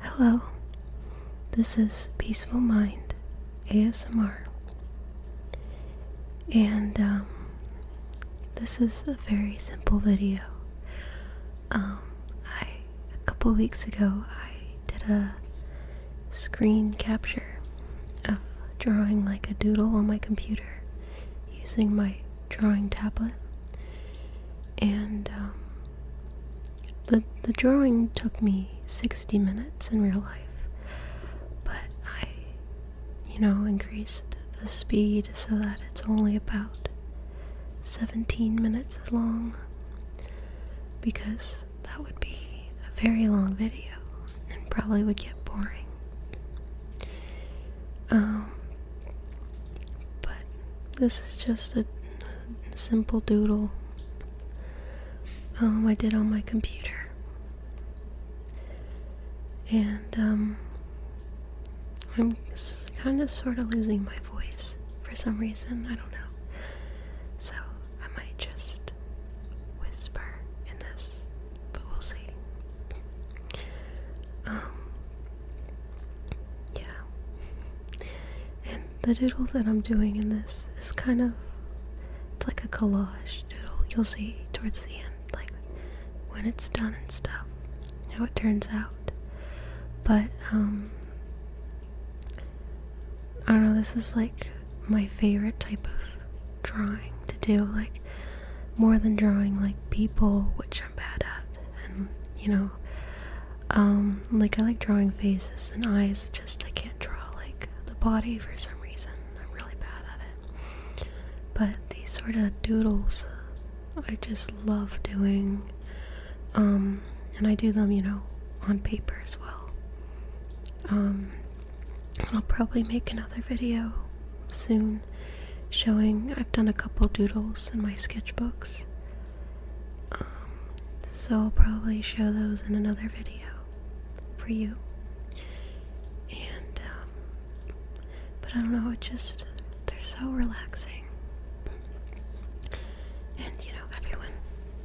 Hello, this is Peaceful Mind ASMR, and um, this is a very simple video. Um, a couple weeks ago I did a screen capture of drawing like a doodle on my computer using my drawing tablet. And um, the, the drawing took me 60 minutes in real life, but I, you know, increased the speed so that it's only about 17 minutes long because that would be a very long video and probably would get boring. Um, but this is just a simple doodle um, I did on my computer. And um, I'm kind of sort of losing my voice for some reason. I don't know. So I might just whisper in this, but we'll see. Um, yeah. And the doodle that I'm doing in this is kind of, it's like a collage doodle. You'll see towards the end, like when it's done and stuff, how it turns out. But, um, I don't know, this is like my favorite type of drawing to do, like more than drawing like people, which I'm bad at, and you know, um, like I like drawing faces and eyes. Just I can't draw like the body for some reason. I'm really bad at it. But these sort of doodles, I just love doing. Um, and I do them, you know, on paper as well. Um, I'll probably make another video soon showing I've done a couple doodles in my sketchbooks. Um, so I'll probably show those in another video for you. And, um, but I don't know, it just, they're so relaxing. And, you know, everyone,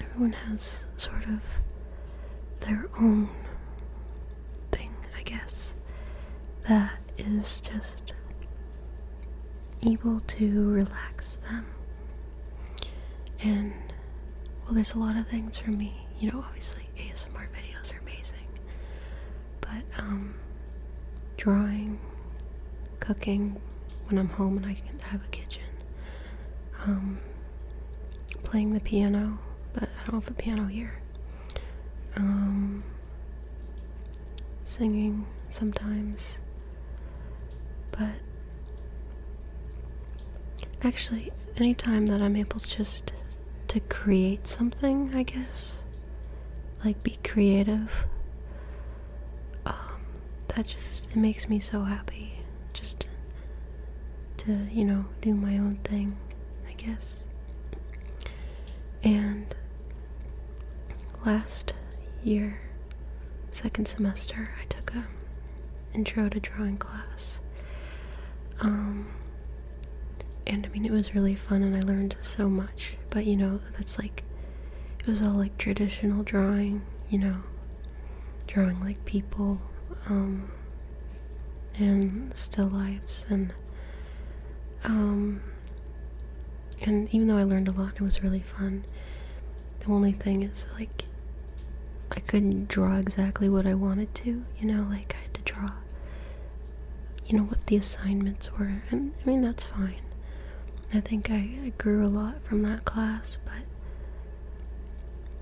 everyone has sort of their own thing, I guess, that is just able to relax them. And, well, there's a lot of things for me. You know, obviously, ASMR videos are amazing. But, um, drawing, cooking, when I'm home and I can have a kitchen, um, playing the piano, but I don't have a piano here. Um, singing sometimes, but actually, anytime that I'm able just to create something, I guess, like be creative, um, that just it makes me so happy. Just to, you know, do my own thing, I guess. And last year, second semester, I took a intro to drawing class. Um, and I mean, it was really fun and I learned so much. But you know, that's like, it was all like traditional drawing, you know, drawing like people and um, still lifes, and um, and even though I learned a lot, it was really fun. The only thing is like I couldn't draw exactly what I wanted to, you know, like I had to draw you know what the assignments were and I mean that's fine. I think I grew a lot from that class, but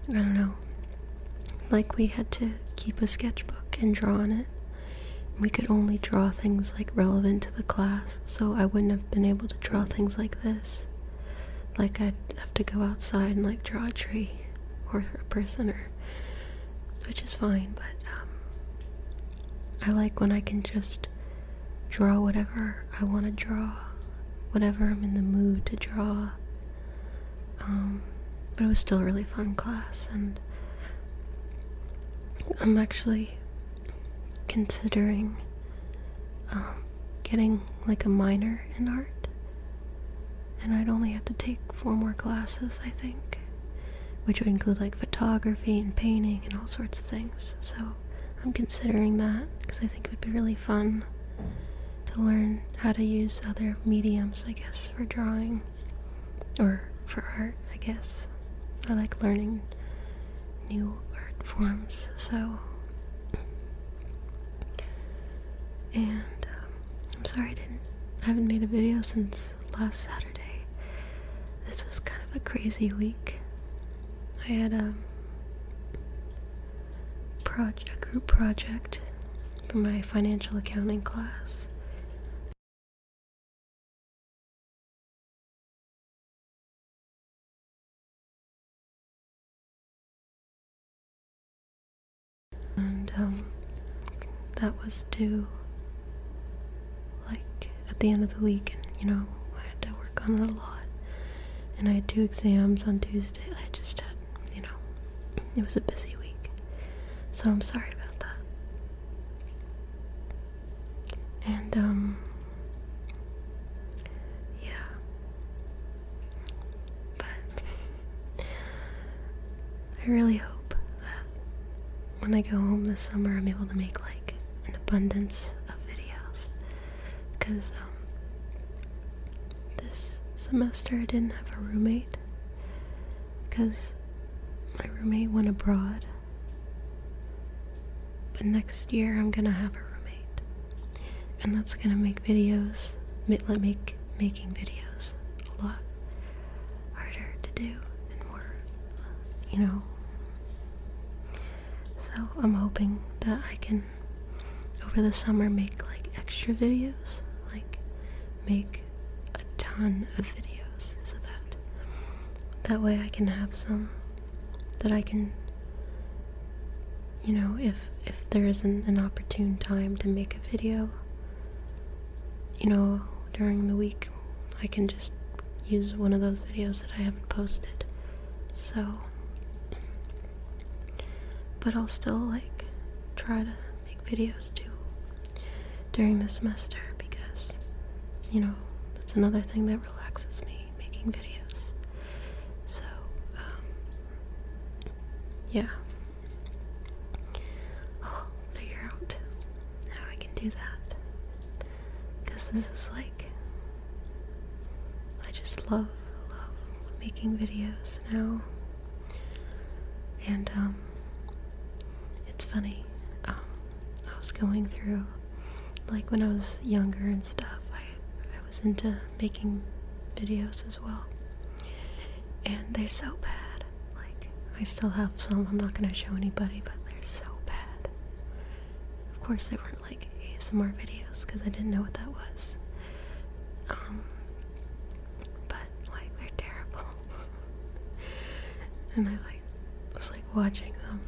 I don't know. Like we had to keep a sketchbook and draw on it. We could only draw things like relevant to the class, so I wouldn't have been able to draw things like this. Like I'd have to go outside and like draw a tree or a person or which is fine, but um, I like when I can just draw whatever I want to draw Whatever I'm in the mood to draw. Um, but it was still a really fun class, and I'm actually considering um, getting like a minor in art. And I'd only have to take four more classes, I think, which would include like photography and painting and all sorts of things. So I'm considering that because I think it would be really fun to learn how to use other mediums, I guess, for drawing or for art, I guess. I like learning new art forms, so. And um, I'm sorry I didn't, I haven't made a video since last Saturday. This was kind of a crazy week. I had a um, project, a group project for my financial accounting class. And um, that was due like at the end of the week, and you know, I had to work on it a lot and I had two exams on Tuesday. I just had, you know, it was a busy week. So I'm sorry about that. And, um, yeah. But I really hope that when I go home this summer, I'm able to make like an abundance of videos because um, this semester I didn't have a roommate because my roommate went abroad. But next year I'm gonna have a roommate, and that's gonna make videos, make make making videos a lot harder to do and more, you know, so I'm hoping that I can over the summer make like extra videos, like make a ton of videos so that that way I can have some that I can you know if if there isn't an opportune time to make a video you know during the week I can just use one of those videos that I haven't posted so, but I'll still like try to make videos too during the semester because you know that's another thing that relaxes me making videos. So, um, yeah. figure out how I can do that because this is like I just love love making videos now and um, it's funny um, I was going through like when I was younger and stuff I I was into making videos as well and they're so bad like I still have some I'm not gonna show anybody but they're so bad of course they were not more like ASMR videos because I didn't know what that was. Um, but like they're terrible, and I like was like watching them.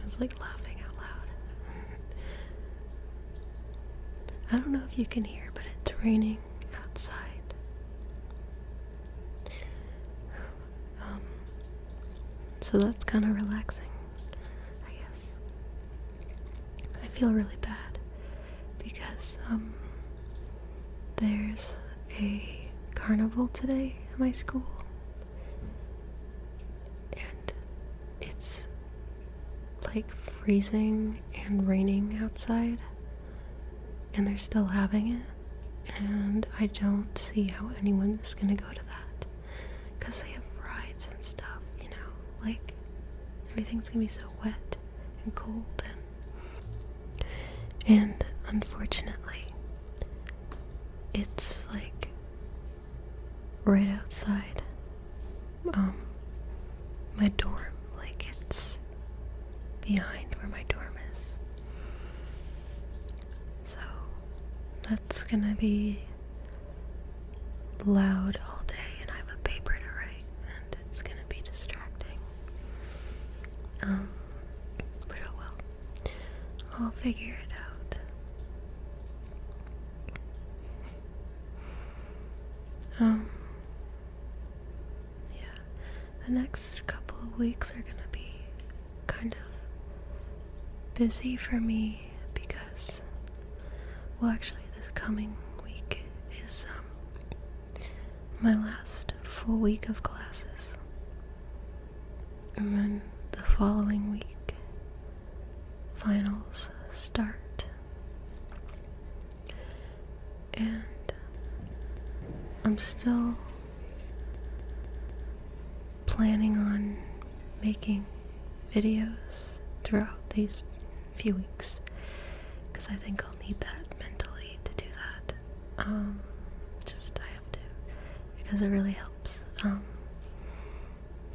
I was like laughing out loud. I don't know if you can hear, but it's raining outside. Um, so that's kind of relaxing, I guess. I feel really bad because um, there's a carnival today at my school, and it's like freezing and raining outside, and they're still having it. And I don't see how anyone is going to go to that because they have rides and stuff, you know, like everything's gonna be so wet and cold and and unfortunately it's like right outside um my dorm like it's behind where my dorm is so that's gonna be loud all day, and I have a paper to write, and it's gonna be distracting. Um, but oh well. I'll figure it out. Um, yeah. The next couple of weeks are gonna be kind of busy for me because, well, actually, this coming week is um, my last full week of classes. And then the following week, finals start. And I'm still planning on making videos throughout these few weeks because I think I'll need that mentally to do that. Um, just I have to because it really helps. Um,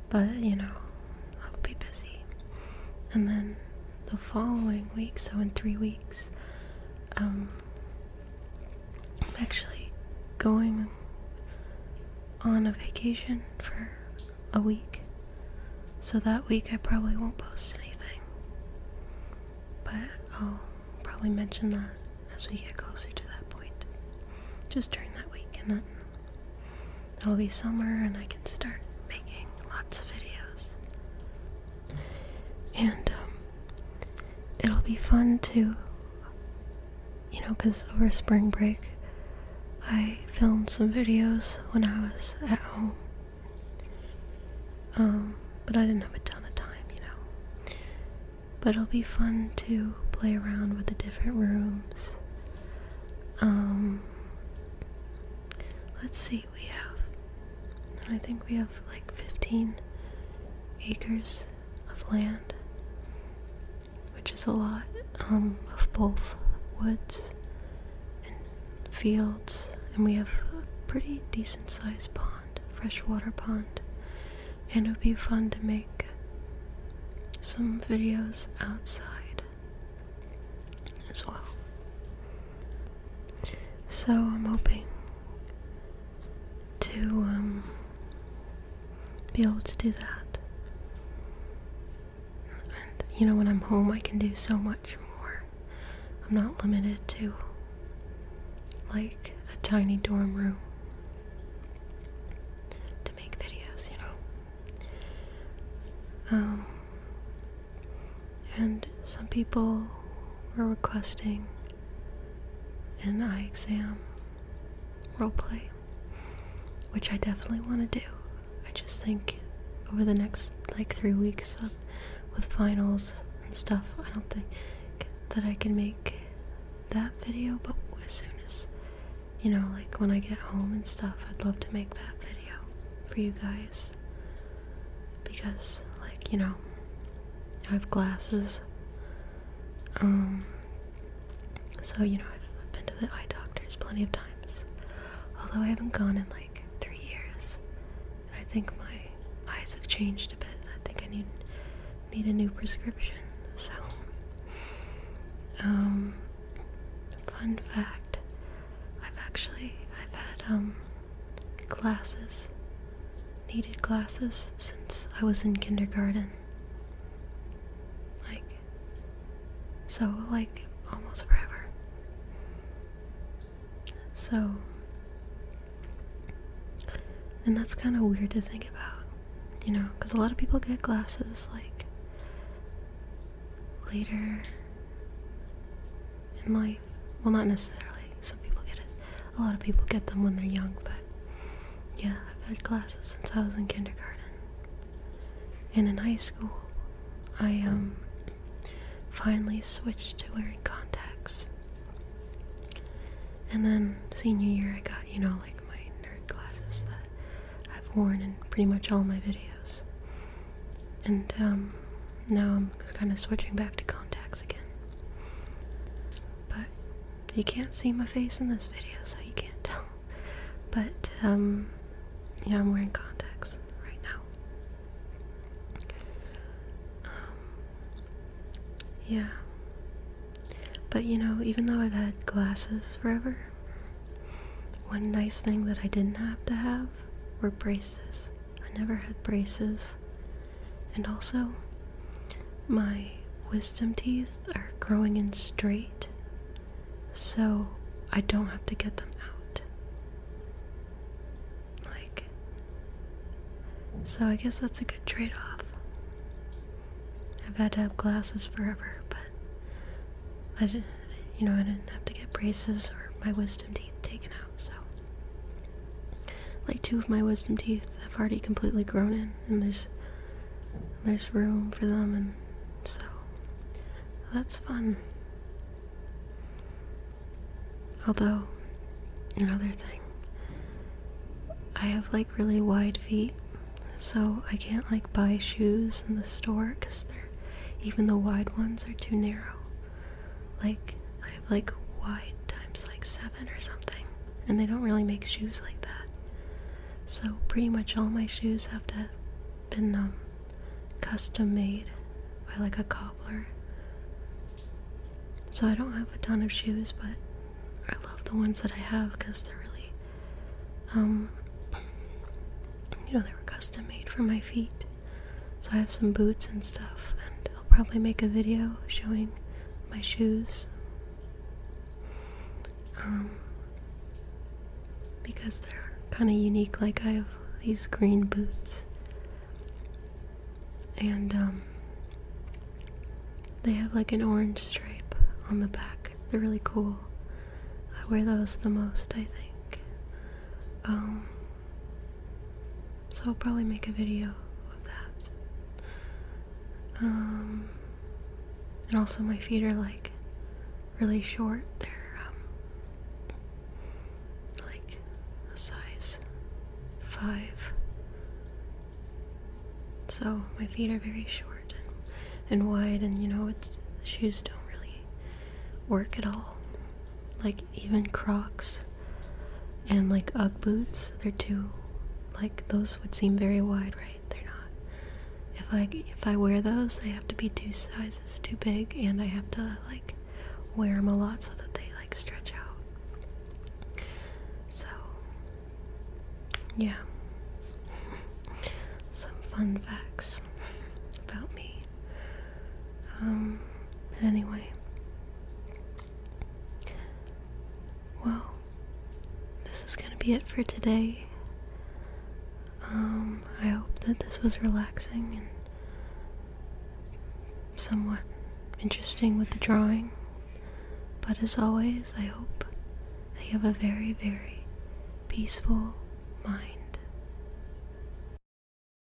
but you know, I'll be busy. And then the following week, so in three weeks, um, I'm actually going on a vacation for a week. So that week I probably won't post anything. But I'll probably mention that as we get closer to that point. Just during that week and then it'll be summer and I can start making lots of videos. And um, it'll be fun to you know, because over spring break I filmed some videos when I was at home. Um, but I didn't have a ton of time, you know. But it'll be fun to play around with the different rooms. Um, let's see, we have, I think we have like 15 acres of land, which is a lot um, of both woods and fields, and we have a pretty decent sized pond, freshwater pond, and it would be fun to make some videos outside as well. So I'm hoping to um be able to do that. And you know, when I'm home, I can do so much more. I'm not limited to like a tiny dorm room to make videos, you know. Um, and some people were requesting an eye exam play, which I definitely want to do. I just think over the next like three weeks with finals and stuff, I don't think that I can make that video, but as soon as you know, like when I get home and stuff, I'd love to make that video for you guys because, like, you know, I have glasses. Um, so, you know, I've been to the eye doctors plenty of times. Although I haven't gone in like three years. And I think my eyes have changed a bit. I think I need need a new prescription. So um, fun fact. I've actually I've had um Glasses. Needed glasses since I was in kindergarten. Like, so, like, almost forever. So, and that's kind of weird to think about, you know, because a lot of people get glasses, like, later in life well not necessarily some people get it a lot of people get them when they're young but yeah i've had glasses since i was in kindergarten and in high school i um finally switched to wearing contacts and then senior year i got you know like my nerd glasses that i've worn in pretty much all my videos and um, now i'm I'm kind of switching back to contacts again. But you can't see my face in this video, so you can't tell. But, um, yeah, I'm wearing contacts right now. Um, yeah. But you know, even though I've had glasses forever, one nice thing that I didn't have to have were braces. I never had braces. And also, my wisdom teeth are growing in straight, so I don't have to get them out. Like, so I guess that's a good trade off. I've had to have glasses forever, but I didn't, you know, I didn't have to get braces or my wisdom teeth taken out so. Like two of my wisdom teeth have already completely grown in, and there's there's room for them, and so that's fun. Although, another thing, I have like really wide feet, so I can't like buy shoes in the store because even the wide ones are too narrow. Like, I have like wide times like seven or something, and they don't really make shoes like that. So, pretty much all my shoes have to been um, custom made by like a cobbler. So, I don't have a ton of shoes, but I love the ones that I have because they're really, um, you know, they were custom made for my feet. So I have some boots and stuff, and I'll probably make a video showing my shoes. Um, because they're kind of unique. Like I have these green boots, and um, they have like an orange stripe on the back. They're really cool. I wear those the most, I think. Um, so I'll probably make a video of that. Um, and also, my feet are like really short. They're um, like a size five. So my feet are very short and, and wide, and you know, it's shoes don't really work at all. Like even Crocs and like Ugg boots, they're too like those would seem very wide, right? They're not. If I if I wear those, they have to be two sizes too big, and I have to like wear them a lot so that they like stretch out. So yeah, some fun facts about me. Um, but anyway. Well, this is gonna be it for today. Um, I hope that this was relaxing and somewhat interesting with the drawing. But as always, I hope that you have a very, very peaceful mind.